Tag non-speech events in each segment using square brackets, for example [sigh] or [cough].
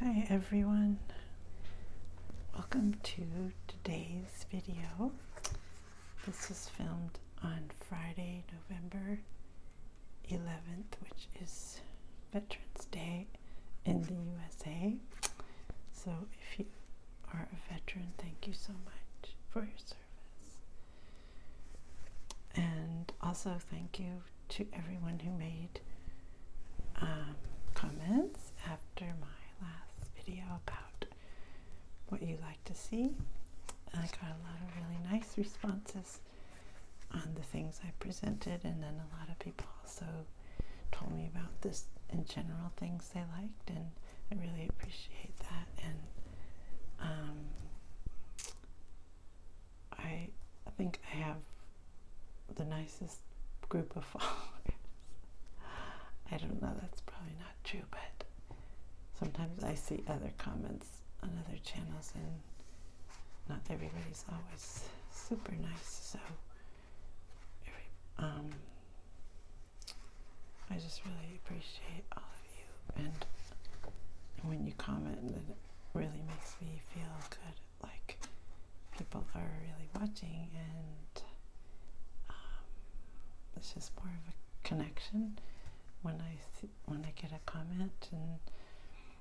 Hi everyone, welcome to today's video. This was filmed on Friday, November 11th, which is Veterans Day in the USA. So if you are a veteran, thank you so much for your service. And also thank you to everyone who made um, comments after my last video about what you like to see. I got a lot of really nice responses on the things I presented, and then a lot of people also told me about this in general things they liked, and I really appreciate that. And um, I, I think I have the nicest group of [laughs] followers. I don't know, that's probably not true, but sometimes I see other comments on other channels and not everybody's always super nice, so um, I just really appreciate all of you and when you comment it really makes me feel good like people are really watching and um, it's just more of a connection when I when I get a comment and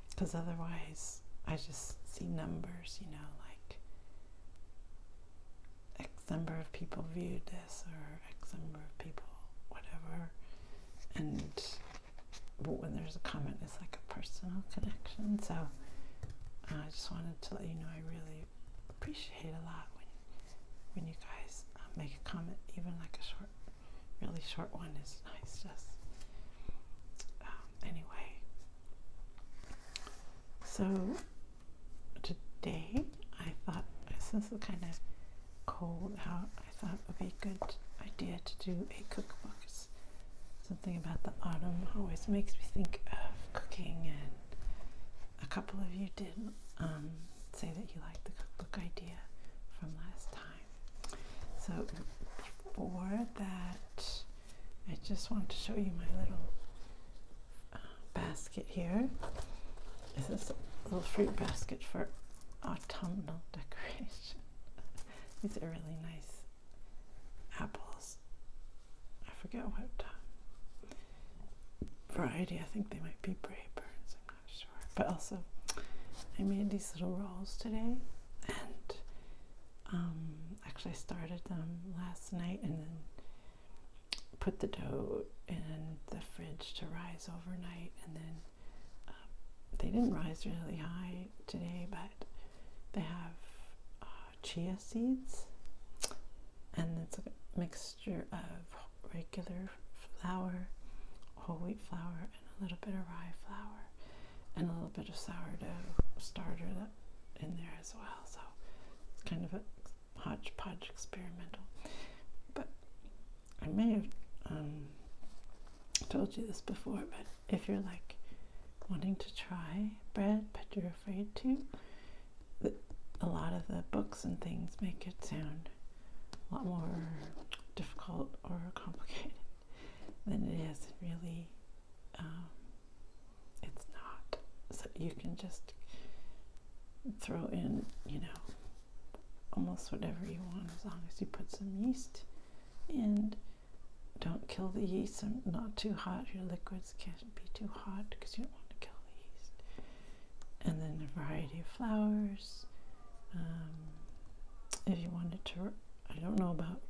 because otherwise I just see numbers you know like X number of people viewed this or X number of people whatever and but when there's a comment, it's like a personal connection. So I just wanted to let you know I really appreciate a lot when when you guys um, make a comment, even like a short, really short one is nice. to us. Um, anyway. So today I thought since it's kind of cold out, I thought it would be a good idea to do a cookbook Something about the autumn always makes me think of cooking, and a couple of you did um, say that you liked the cookbook idea from last time. So before that, I just want to show you my little uh, basket here. This is a little fruit basket for autumnal [laughs] decoration. These are really nice apples. I forget what variety. I think they might be Brayburns. I'm not sure. But also, I made these little rolls today, and um, actually started them last night, and then put the dough in the fridge to rise overnight, and then uh, they didn't rise really high today, but they have uh, chia seeds, and it's a mixture of regular flour, whole wheat flour, and a little bit of rye flour, and a little bit of sourdough starter in there as well. So it's kind of a hodgepodge experimental. But I may have um, I told you this before, but if you're like wanting to try bread but you're afraid to, a lot of the books and things make it sound a lot more difficult or complicated [laughs] than it is. It really, um, it's not. So you can just throw in, you know, almost whatever you want as long as you put some yeast in. Don't kill the yeast. I'm not too hot. Your liquids can't be too hot because you don't want to kill the yeast. And then a variety of flowers. Um, if you wanted to, I don't know about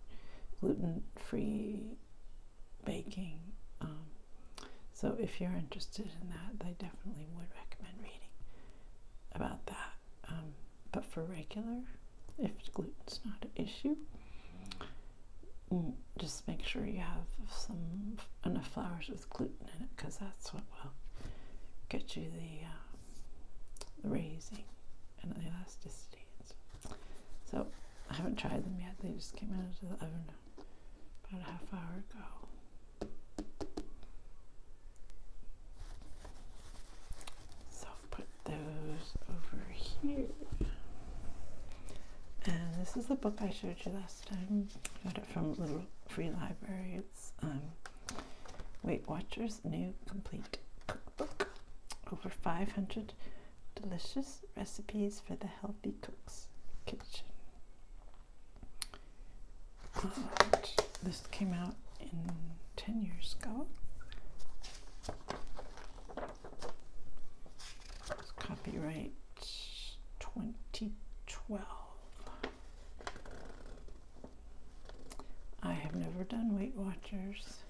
gluten-free baking. Um, so if you're interested in that, I definitely would recommend reading about that. Um, but for regular, if gluten's not an issue, mm, just make sure you have some enough flours with gluten in it because that's what will get you the, uh, raising and the elasticity. So I haven't tried them yet. They just came out of the oven about a half hour ago. So put those over here. And this is the book I showed you last time. got it from Little Free Library. It's um, Weight Watchers New Complete Cookbook. Over 500 delicious recipes for the healthy cook's kitchen. this came out in 10 years ago copyright 2012. I have never done Weight Watchers.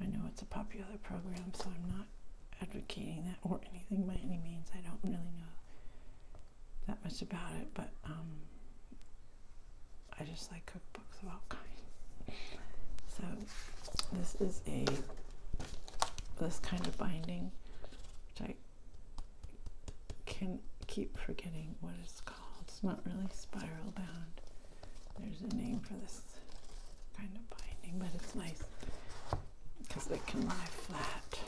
I know it's a popular program, so I'm not advocating that or anything by any means. I don't really know that much about it, but um, I just like cookbooks of all kinds. So this is a this kind of binding, which I can keep forgetting what it's called. It's not really spiral bound. There's a name for this kind of binding, but it's nice because it can lie flat.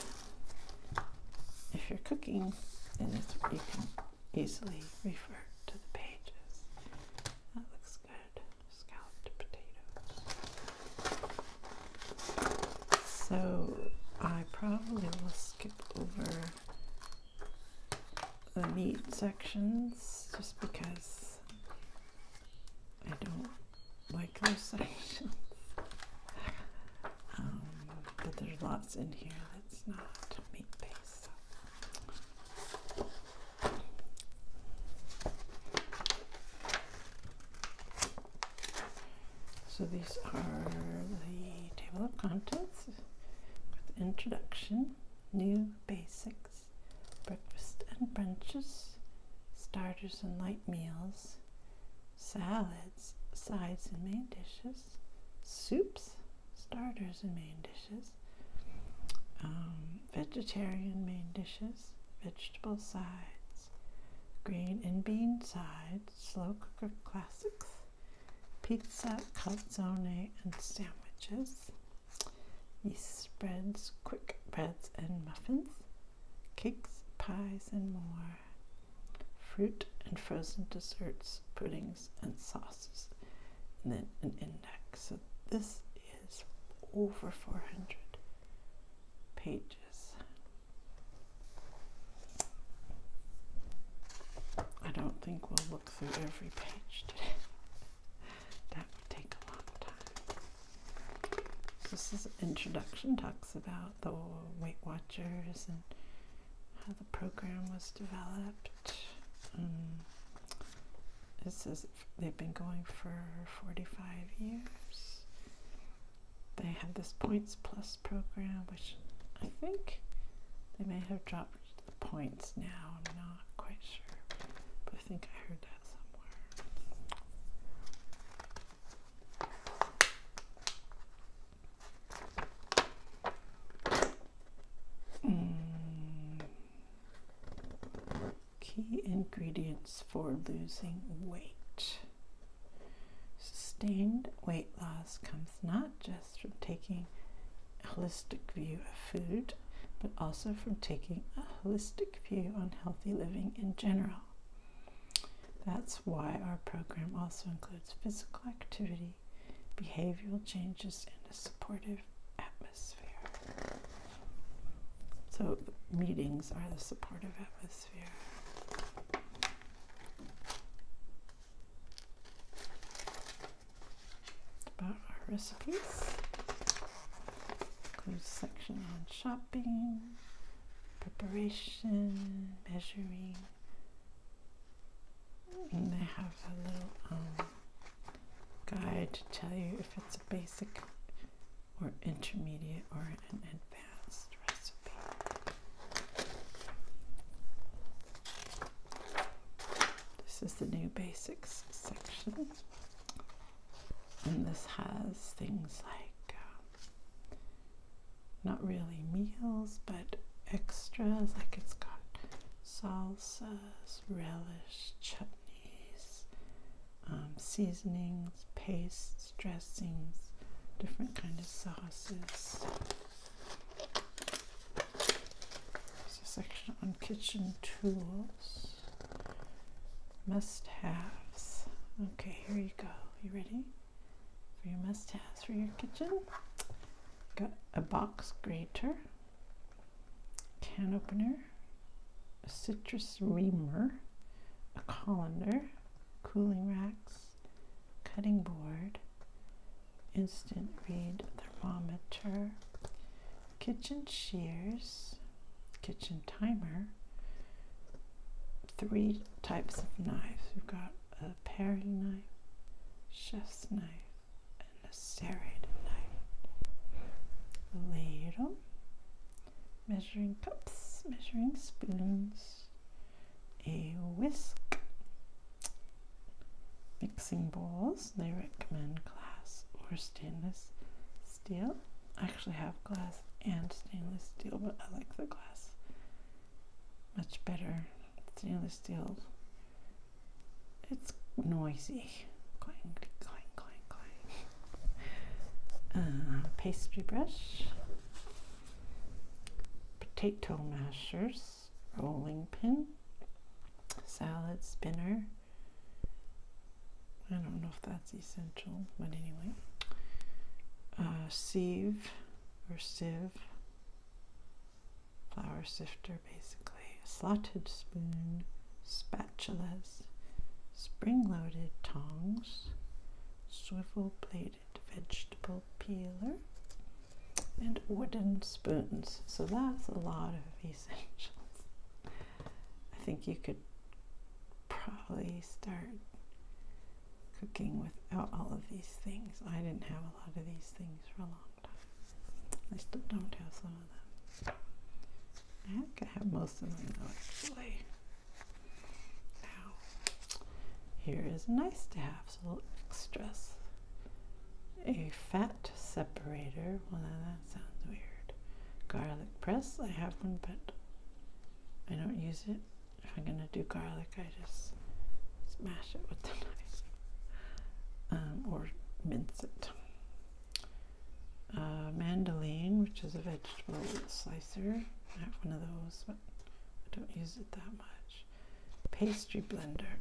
If you're cooking, and it's, you can easily refer to the pages. That looks good. Scalloped potatoes. So I probably will skip over the meat sections just because I don't like those [laughs] sections. Um, but there's lots in here that's not meat based. So these are the table of contents with introduction, new basics, breakfast and brunches, starters and light meals, salads, sides and main dishes, soups, starters and main dishes. Um, vegetarian main dishes, vegetable sides, green and bean sides, slow cooker classics, pizza, calzone, and sandwiches, yeast spreads, quick breads and muffins, cakes, pies, and more, fruit and frozen desserts, pudding and sauces, and then an index. So this is over 400 pages. I don't think we'll look through every page today. that would take a long time. This is introduction, talks about the Weight Watchers and how the program was developed this um, is. they've been going for 45 years. They have this Points Plus program, which I think they may have dropped the points now. I'm not quite sure, but I think I heard that somewhere. Mm. Key ingredients for losing weight. Sustained weight loss comes not just from taking a holistic view of food, but also from taking a holistic view on healthy living in general. That's why our program also includes physical activity, behavioral changes, and a supportive atmosphere. So meetings are the supportive atmosphere. About our recipes. Includes section on shopping, preparation, measuring. they have a little um, guide to tell you if it's a basic or intermediate or an advanced recipe. This is the new basics section. And this has things like uh, not really meals, but extras, like it's got salsa relish, chutneys, um, seasonings, pastes, dressings, different kind of sauces. section on kitchen tools, must-haves. Okay, here you go. You ready for your must-haves for your kitchen? Got a box grater can opener, a citrus reamer, a colander, cooling racks, cutting board, instant read thermometer, kitchen shears, kitchen timer, three types of knives. We've got a paring knife, chef's knife, a serrated knife. Later, measuring cups, measuring spoons, a whisk, mixing bowls. They recommend glass or stainless steel. I actually have glass and stainless steel, but I like the glass much better. Stainless steel it's noisy. Uh, pastry brush, potato mashers, rolling pin, salad spinner. I don't know if that's essential, but anyway. Uh, sieve or sieve flour sifter basically, a slotted spoon, spatulas, spring loaded tongs, swivel bladed vegetable peeler, and wooden spoons. So that's a lot of [laughs] essentials. I think you could probably start cooking without all of these things. I didn't have a lot of these things for a long I still don't have some of them. I think I have most of them though, actually. Now, here is nice to have, some little extras. A fat separator. Well, that sounds weird. Garlic press. I have one, but I don't use it. If I'm gonna do garlic, I just smash it with the [laughs] knife um, or mince it. A uh, mandoline, which is a vegetable slicer. I have one of those, but I don't use it that much. Pastry blender.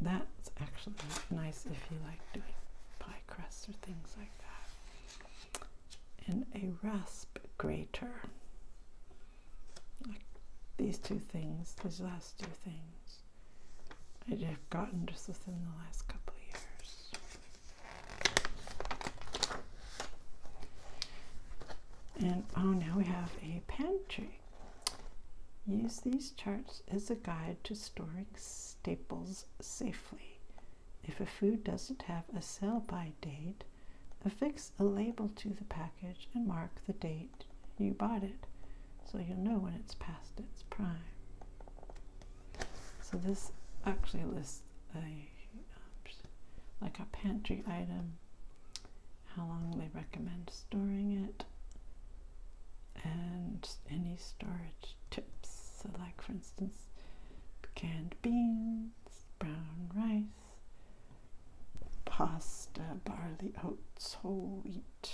That's actually nice if you like doing pie crusts or things like that. And a rasp grater. Like these two things, these last two things. I've gotten just within the last couple of years. And oh, now we have a pantry. Use these charts as a guide to storing staples safely. If a food doesn't have a sell by date, affix a label to the package and mark the date you bought it so you'll know when it's past its prime. So this actually lists a like a pantry item, how long they recommend storing it, and any storage tips. So like for instance, canned beans, brown rice, pasta, barley, oats, whole wheat,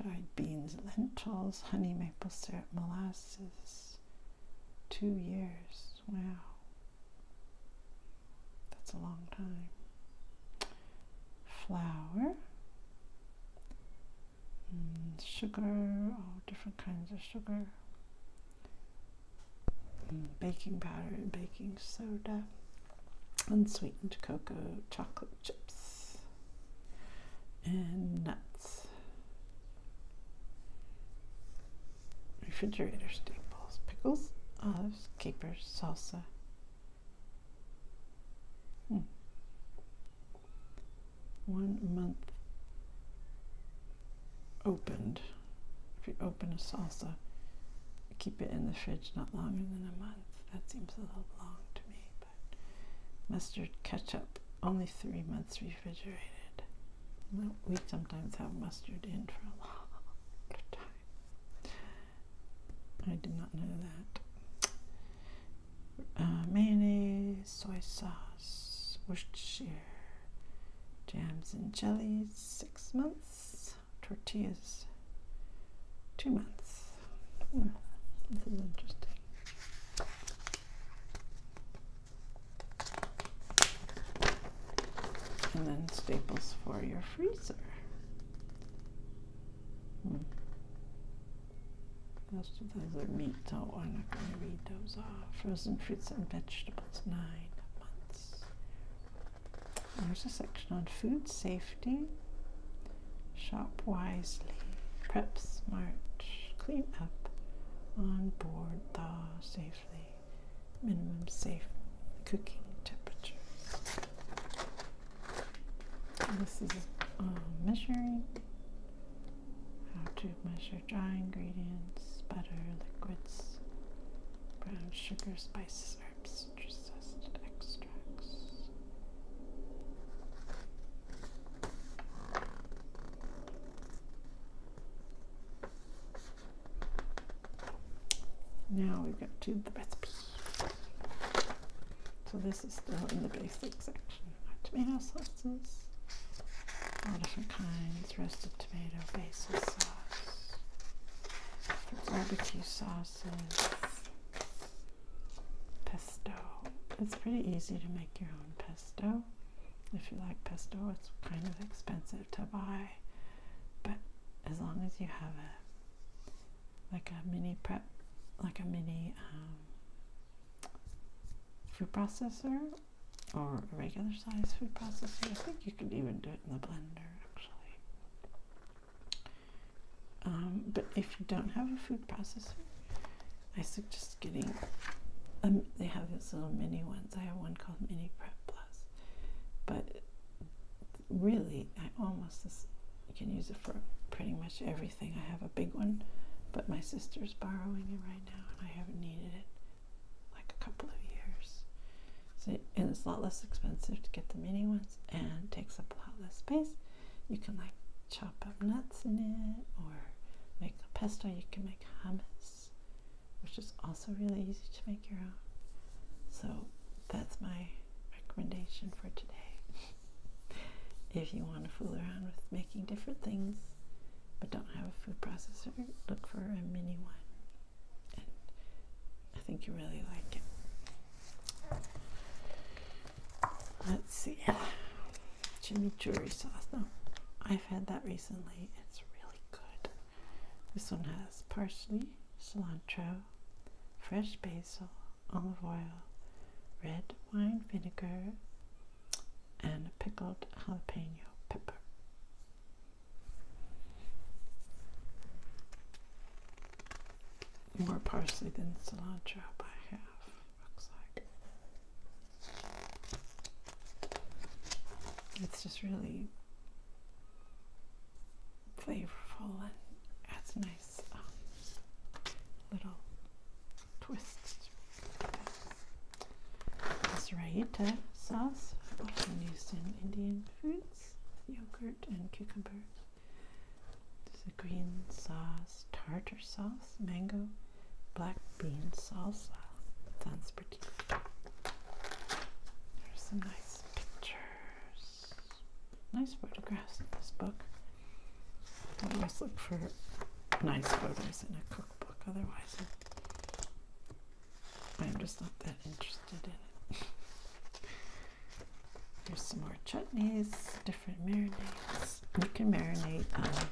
dried beans, lentils, honey, maple syrup, molasses. Two years. Wow. That's a long time. Flour. Mm, sugar. All different kinds of sugar. Mm, baking powder baking soda. Unsweetened cocoa, chocolate chips and nuts. Refrigerator staples, pickles, olives, capers, salsa. Hmm. One month opened. If you open a salsa, keep it in the fridge not longer than a month. That seems a little long to me. Mustard ketchup, only three months refrigerated. we sometimes have mustard in for a [laughs] long time. I did not know that. Uh, mayonnaise, soy sauce, Worcestershire, jams and jellies, six months. Tortillas, two months. This interesting. And then staples for your freezer. Hmm. Most of those are meat, so I'm not going to read those off. Frozen fruits and vegetables, nine months. There's a section on food safety shop wisely, prep smart, clean up, on board, thaw safely, minimum safe cooking temperatures. This is um, measuring how to measure dry ingredients, butter, liquids, brown sugar, spices, herbs, citrus zest, extra. Now we go to the recipe. So this is still in the basics section. tomato sauces, all different kinds, roasted tomato, basil sauce, barbecue sauces, pesto. It's pretty easy to make your own pesto. If you like pesto, it's kind of expensive to buy, but as long as you have a like a mini prep, like a mini um, food processor or a regular size food processor, I think you could even do it in the blender actually. Um, but if you don't have a food processor, I suggest getting. Um, they have these little mini ones. I have one called Mini Prep Plus, but really, I almost you can use it for pretty much everything. I have a big one, but my sister's borrowing it right now, and I haven't needed it like a couple of years. So, and it's a lot less expensive to get the mini ones, and takes up a lot less space. You can like chop up nuts in it or make a pesto. You can make hummus, which is also really easy to make your own. So that's my recommendation for today. [laughs] if you want to fool around with making different things but don't have a food processor, look for a mini one. I think you really like it. Let's see. Jimmy' Chimichurri sauce. No, I've had that recently. It's really good. This one has parsley, cilantro, fresh basil, olive oil, red wine vinegar, and pickled jalapeno pepper more parsley than cilantro by half, looks like. It's just really flavorful and adds nice um, little twist. This rayita sauce, often used in Indian foods, yogurt and cucumbers. There's a green sauce, tartar sauce, mango, black bean salsa. Sounds pretty There's some nice pictures, nice photographs in this book. I always look for nice photos in a cookbook, otherwise, I'm just not that interested in it. [laughs] There's some more chutneys, you can marinate, um,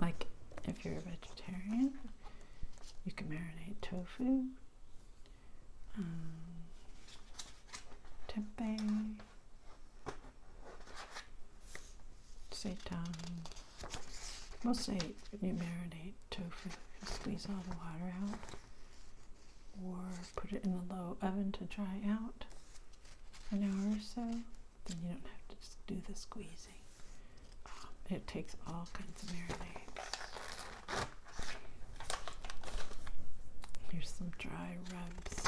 like if you're a vegetarian, you can marinate tofu, um, tempeh, seitan. We'll say you marinate tofu and squeeze all the water out, or put it in a low oven to dry out an hour or so, then you don't have to just do the squeezing. Um, it takes all kinds of marinades. Here's some dry rubs.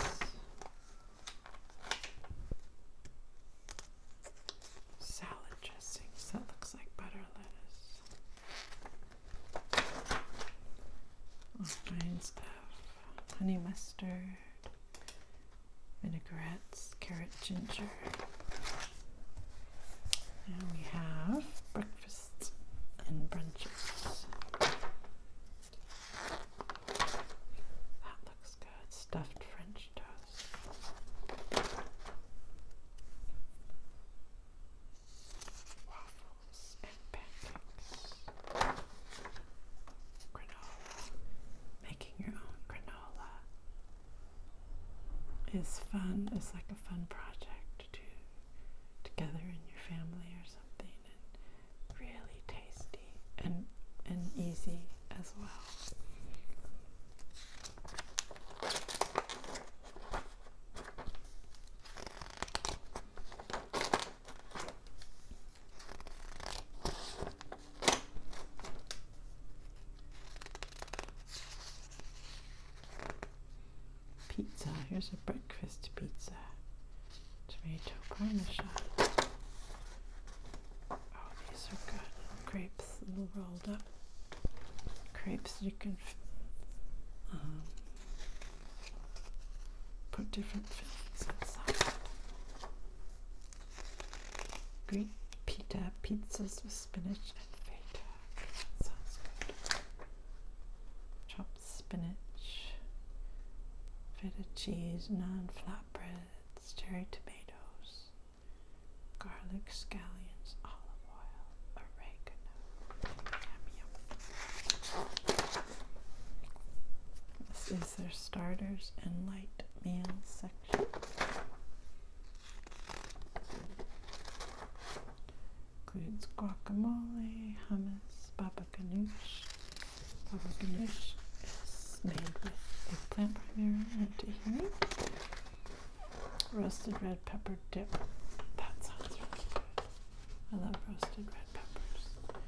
Salad dressings. That looks like butter lettuce. All kinds of honey mustard, vinaigrettes, carrot ginger. And we have breakfasts and brunches. That looks good. Stuffed French toast. Waffles rolls and pancakes. Granola. Making your own granola is fun. It's like a fun project to do together in your family or something, and really tasty and and easy as well. Pizza, here's a breakfast pizza. Tomato parmesan. Oh, these are good. Crepes, little rolled up. Crepes you can um, put different things inside. Green pita pizzas with spinach and feta. sounds good. Chopped spinach, feta cheese, non flatbreads, cherry tomatoes, garlic scallions, olive oil, oregano. Yum, this is their starters and light meal section. Includes guacamole, hummus, baba ganoush. Baba ganoush is made with plant primarily and tahini. Roasted red pepper dip. That sounds really good. I love roasted red peppers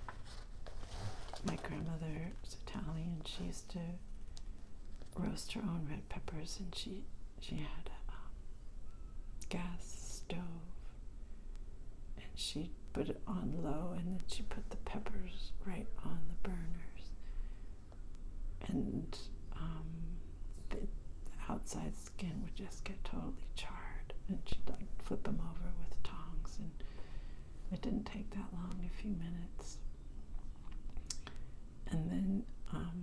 my grandmother was Italian. She used to roast her own red peppers, and she she had a um, gas stove, and she put it on low, and then she put the peppers right on the burners, and um, the outside skin would get totally charred. And she'd flip them over with tongs, and it didn't take that long, a few minutes. And then um,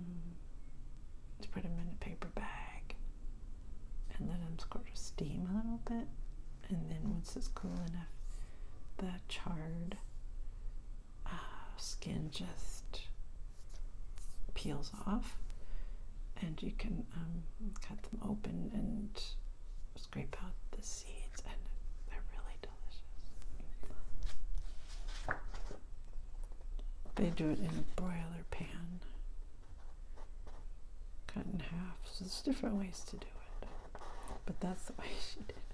put them in a paper bag and then I'm sort to steam a little bit. And then once it's cool enough, the charred uh, skin just peels off and you can um, cut them open and scrape out the seeds, and they're really delicious. They do it in a broiler pan, cut in half. So there's different ways to do it, but that's the way she did it.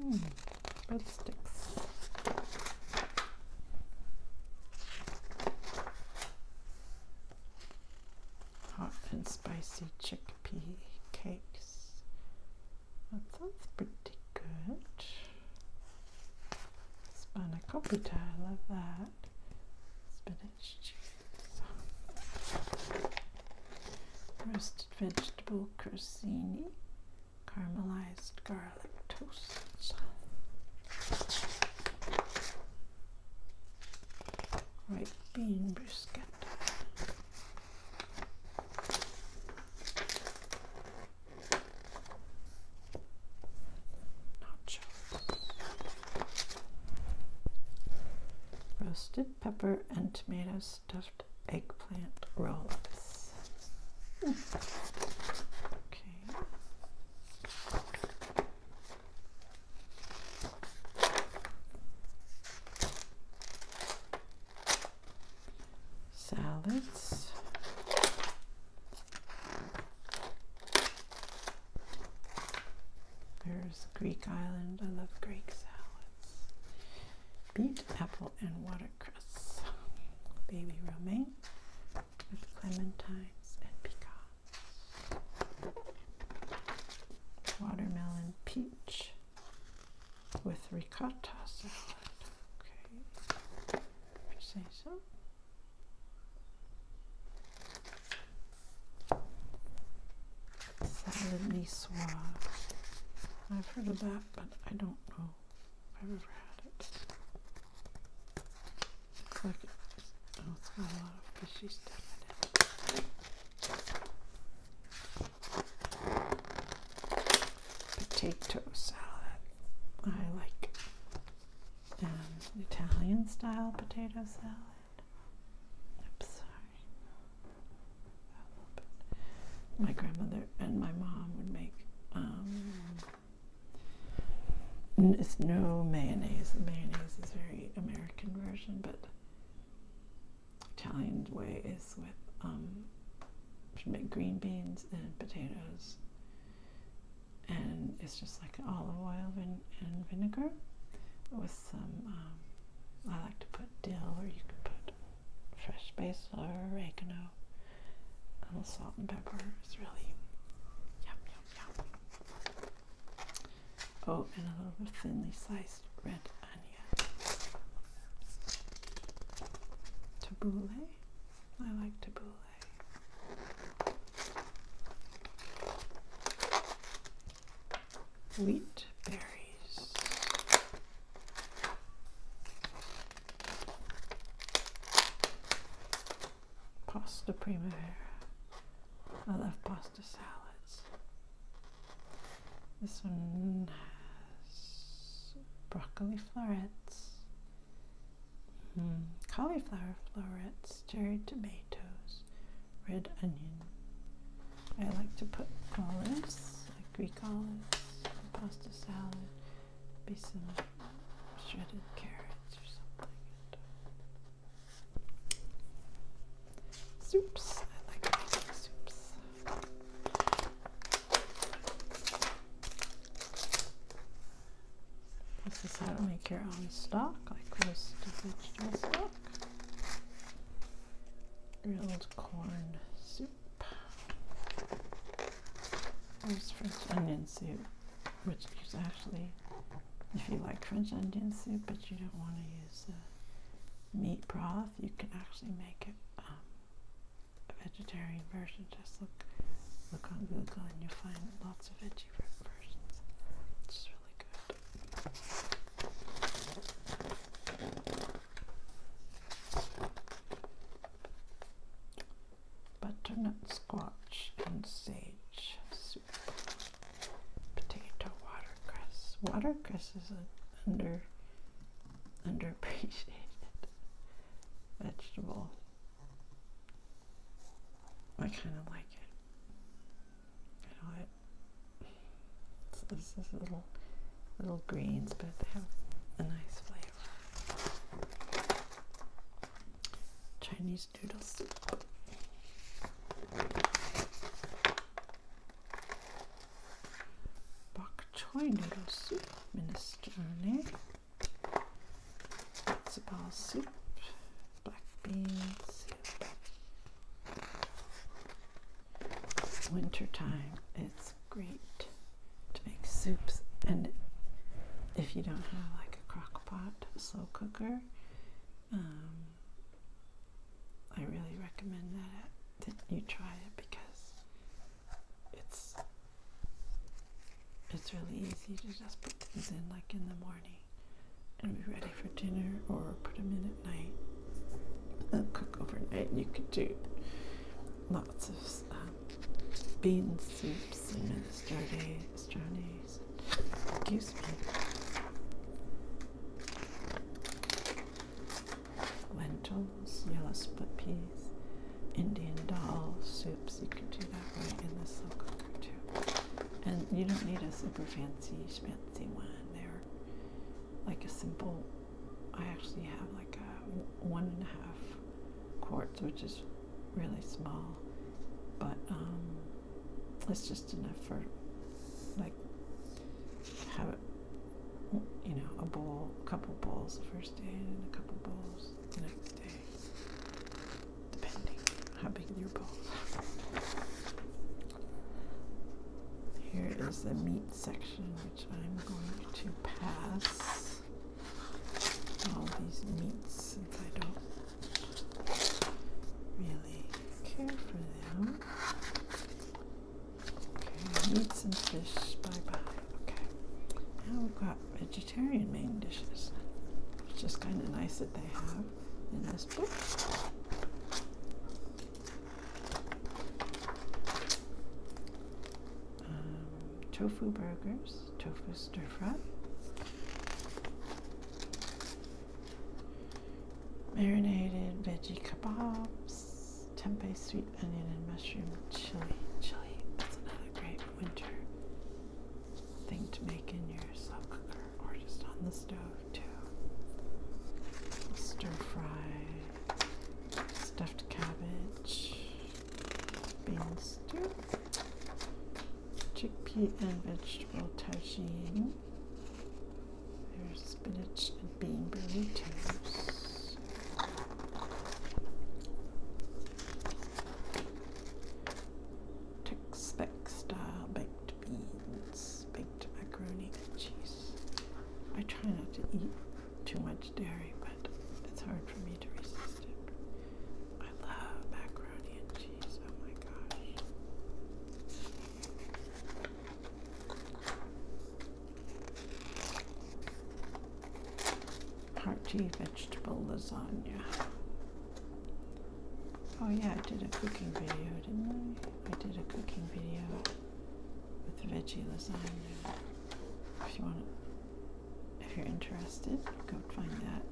Hmm. Hot and spicy chickpea cakes. That sounds pretty good. Spanakopita, I love that. Spinach cheese. Roasted vegetable corsini caramelized garlic toast. Right bean brisket. Nachos. Roasted pepper and tomato stuffed eggplant roll-ups. Hmm. Okay, Salads. There's Greek Island. I love Greek salads. Beet, apple, and watercress. Baby romaine with clementines and pecans. Watermelon peach with ricotta salad. Okay, if you say so. Salad niçoise. I've heard of that, but I don't know I've ever had it. Looks it, it's got a lot of fishy stuff in it. Potato salad. I like um, Italian style potato salad. I'm sorry. My grandmother and my mom would make um, it's no mayonnaise. The mayonnaise is very American version, but Italian way is with um, green beans and potatoes, and it's just like olive oil and, vinegar with some. Um, I like to put dill, or you can put fresh basil or oregano a little salt and pepper. It's really yum, yum, yum. Oh, and a little bit thinly sliced red onion. Tabbouleh. I like tabbouleh. Wheat berries. Pasta primavera. I love pasta salads. This one has broccoli florets, hmm, cauliflower florets, cherry tomatoes, red onion. I like to put olives, like Greek olives, in pasta salad be some shredded carrots or something. Soups. I like making soups. This is how to make your own stock, like roast vegetable stock. Grilled corn soup. There's French onion soup, which is actually, if you like French onion soup, but you don't want to use meat broth, you can actually make it um, a vegetarian version. Just look look on Google and you'll find lots of veggie versions, which is really good butternut squash and sage soup. Potato watercress. Watercress is an under underappreciated [laughs] vegetable. I kind of like it. You know it. It's, it's, little little greens, but they have a nice flavor. Chinese noodles. Bok choy noodle soup, minestrone, sabal soup, black bean soup. Winter it's great to make soups. And if you don't have like a crock pot slow cooker, um, I really recommend that, it, uh, that you try it because it's it's really easy to just put things in like in the morning and be ready for dinner or put them in at night and cook overnight. You could do lots of stuff. Uh, bean soups and sturdies, journeys. Excuse me. Lentils, yellow split peas, Indian dal soups. You can do that right in the slow cooker too. And you don't need a super fancy fancy one. There, like a simple. I actually have like a one and a half quarts, which is really small, but um, it's just enough for like have it, you know, a bowl, a couple bowls the first day, and a couple bowls the next day, depending how big your bowls are. Here is the meat section, which I'm going to pass all these meats since I don't really care for them. Okay, meats and fish, bye bye. Okay, now we've got vegetarian main dishes, It's just kind of nice that they have in this book. Um, tofu burgers, tofu stir fry, marinated veggie kebabs, tempeh sweet onion and mushroom chili. Chili, that's another great winter thing to make in your slow cooker or just on the stove too. Stir fry, stuffed cabbage, Beans, stew, chickpea and vegetable tagine. There's spinach and bean burritos. Tex-Mex style baked beans, baked macaroni and cheese. I try not to eat too much dairy, but it's hard for me to resist. I love macaroni and cheese. Oh my gosh. Party vegetable lasagna. Oh yeah, I did a cooking video, didn't I? I did a cooking video with veggie lasagna. If you want if you're interested, go find that.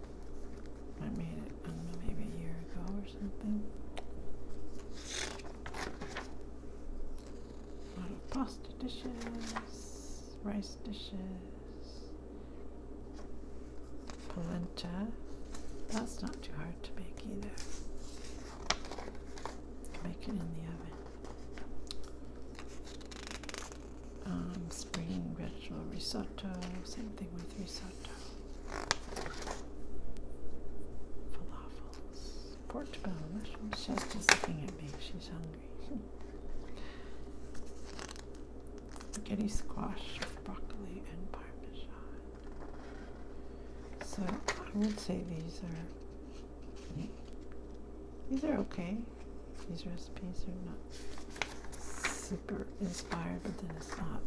I made it, I don't know, maybe a year ago or something. A lot of pasta dishes, rice dishes, polenta. That's not too hard to make either. Make it in the oven. Um, spring vegetable risotto, same thing with risotto, falafels, pork bone. She's just looking at me, she's hungry. Spaghetti squash with broccoli and parmesan. So I would say these are these are okay. These recipes are not super inspired, but then it's not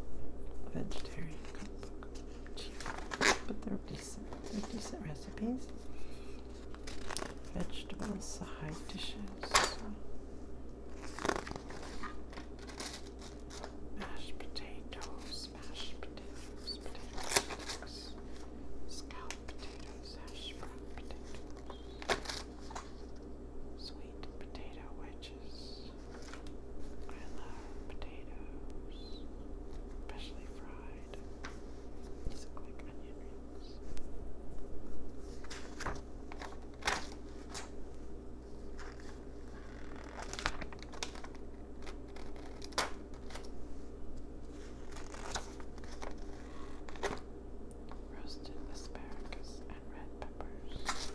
a vegetarian cookbook. Jeez. But they're decent. They're decent recipes. Vegetable side dishes. Mashed potatoes, mashed potatoes, potatoes, scalloped potatoes, hash brown potatoes. Sweet potato wedges. I love potatoes, especially fried. These look like onion rings roasted asparagus and red peppers.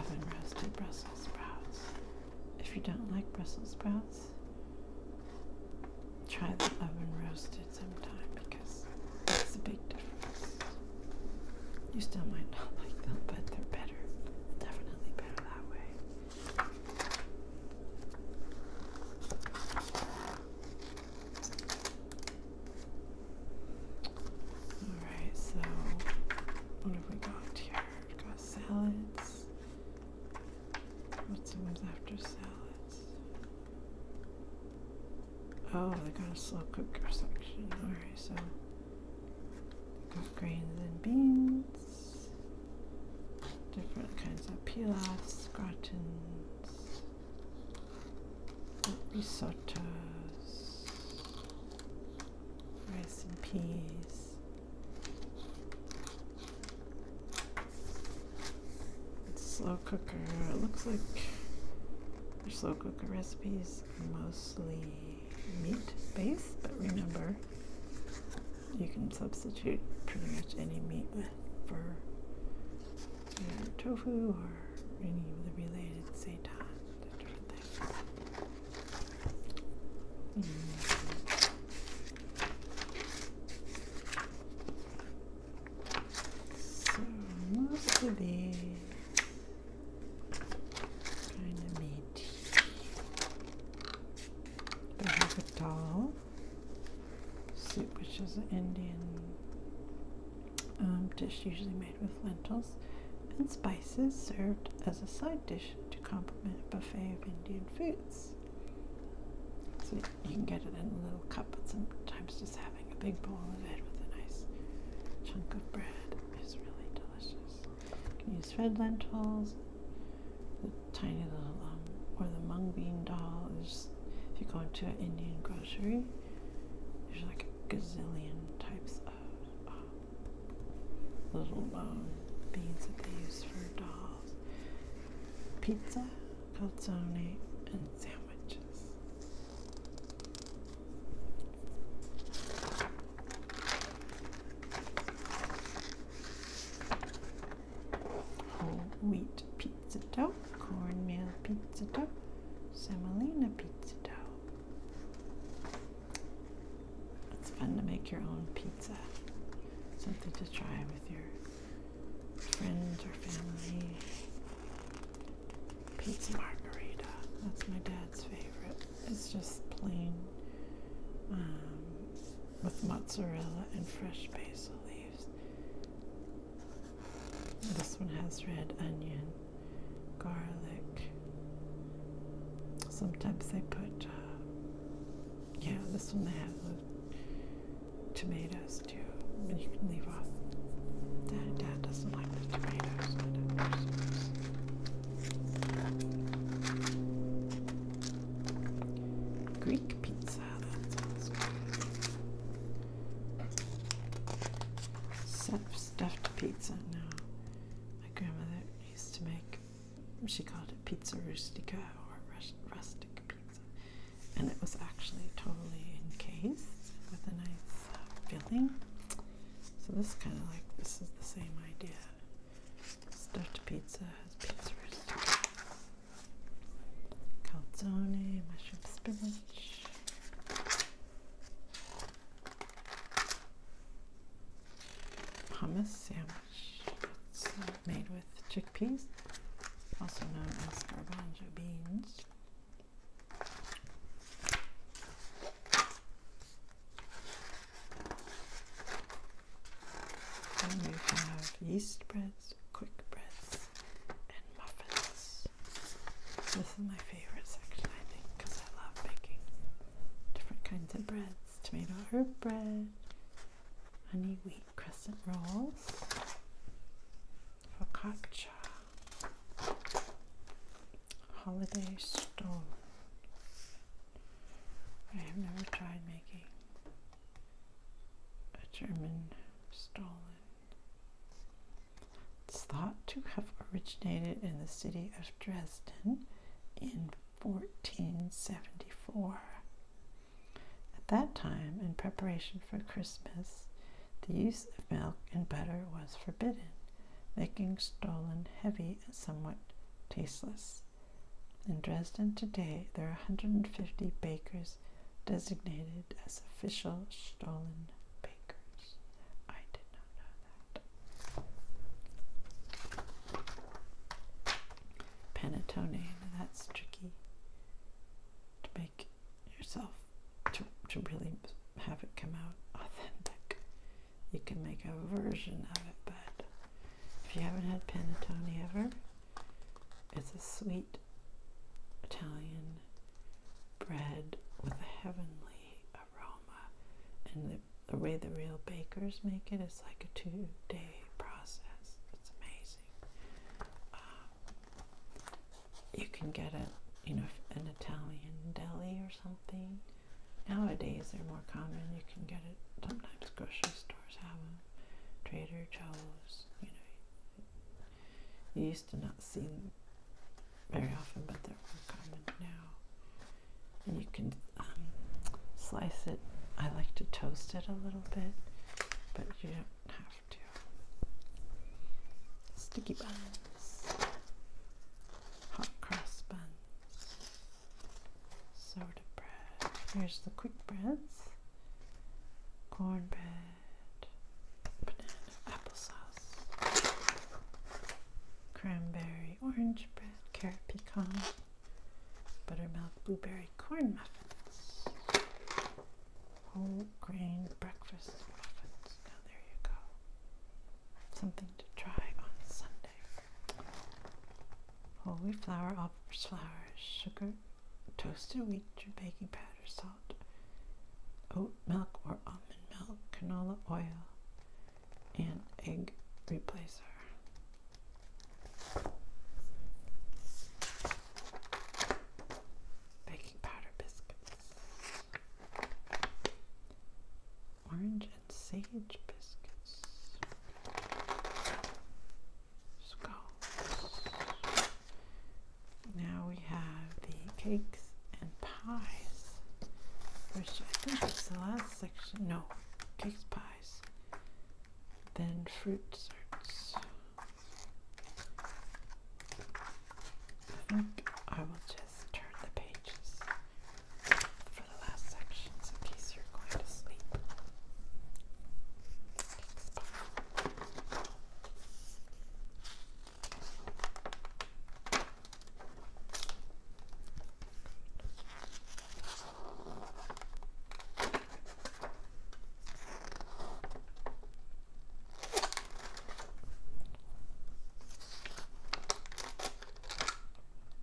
Oven roasted Brussels sprouts. If you don't like Brussels sprouts, try the oven roasted sometime because it's a big difference. You still might not [laughs] like them, but they're better. Definitely better that way. Alright, so what have we got here? we got salads. What's the after salads? Oh, they got a slow cooker section. Alright, so got grains and beans different kinds of pilafs, gratins, risottos, rice and peas. It's slow cooker. It looks like their slow cooker recipes mostly meat based, but remember you can substitute pretty much any meat with for tofu or any of the related seitan, that So most kind of meaty. I have a dal soup, which is an Indian um, dish usually made with lentils and spices served as a side dish to complement a buffet of Indian foods. So you can get it in a little cup, but sometimes just having a big bowl of it with a nice chunk of bread is really delicious. You can use red lentils, tiny little or um, the mung bean doll is if you go into an Indian grocery, there's like a gazillion types of um, little um, beans that they use for dolls. Pizza, calzone, and sandwiches whole wheat pizza dough, cornmeal pizza dough, semolina pizza dough. It's fun to make your own pizza. Something to try with your friends or family. Pizza margarita. That's my dad's favorite. It's just plain um, with mozzarella and fresh basil leaves. This one has red onion, garlic. Sometimes they put, uh, yeah, this one they uh, tomatoes too, But you can leave off. Dad, Dad doesn't like the tomatoes. Greek pizza, Stuffed pizza, no. My grandmother used to make, she called it pizza rustica or rustic pizza. And it was actually totally encased with a nice uh, filling. So this is kind of like, this is the same idea. Stuffed pizza has pizza pizzas. Calzone, mushroom spinach. Hummus sandwich. It's made with chickpeas, also known as garbanzo beans. Then we have yeast breads, quick breads, and muffins. This is my favorite section, I think, because I love making different kinds of breads tomato herb bread, honey wheat crescent rolls, focaccia, holiday stone. I have never tried making a German Stollen is thought to have originated in the city of Dresden in 1474. At that time, in preparation for Christmas, the use of milk and butter was forbidden, making Stollen heavy and somewhat tasteless. In Dresden today, there are 150 bakers designated as official Stollen bakers. I did not know that. Panettone, that's tricky to make yourself, to, to really have it come out authentic. You can make a version of it, but if you haven't had panettone ever, it's a sweet Italian bread with a heavenly aroma. And the, way the real bakers make it is like a two day process. It's amazing. Um, you can get it, you know, an Italian deli or something. Nowadays they're more common. You can get it sometimes grocery store stores have them. Trader Joe's, you know. You used to not see them very often, but they're more common now. you can um, slice it. I like to toast it a little bit, but you don't have to. Sticky buns, hot cross buns sourdough bread. Here's the quick breads. Cornbread, banana, applesauce, cranberry, orange bread, carrot pecan, buttermilk, blueberry, corn muffins, whole grain breakfast muffins. there you go. Something to try on Sunday whole wheat flour, all purpose flour, sugar, toasted wheat, or baking powder, salt, oat milk or almond milk, canola oil, and egg replacer. Baking powder biscuits. Orange and sage biscuits scones. Now we have the cakes and pies, which I think is the last section. No, cakes, pies, then fruit desserts. I think I will just turn the pages the last sections in case you're going to sleep. Okay.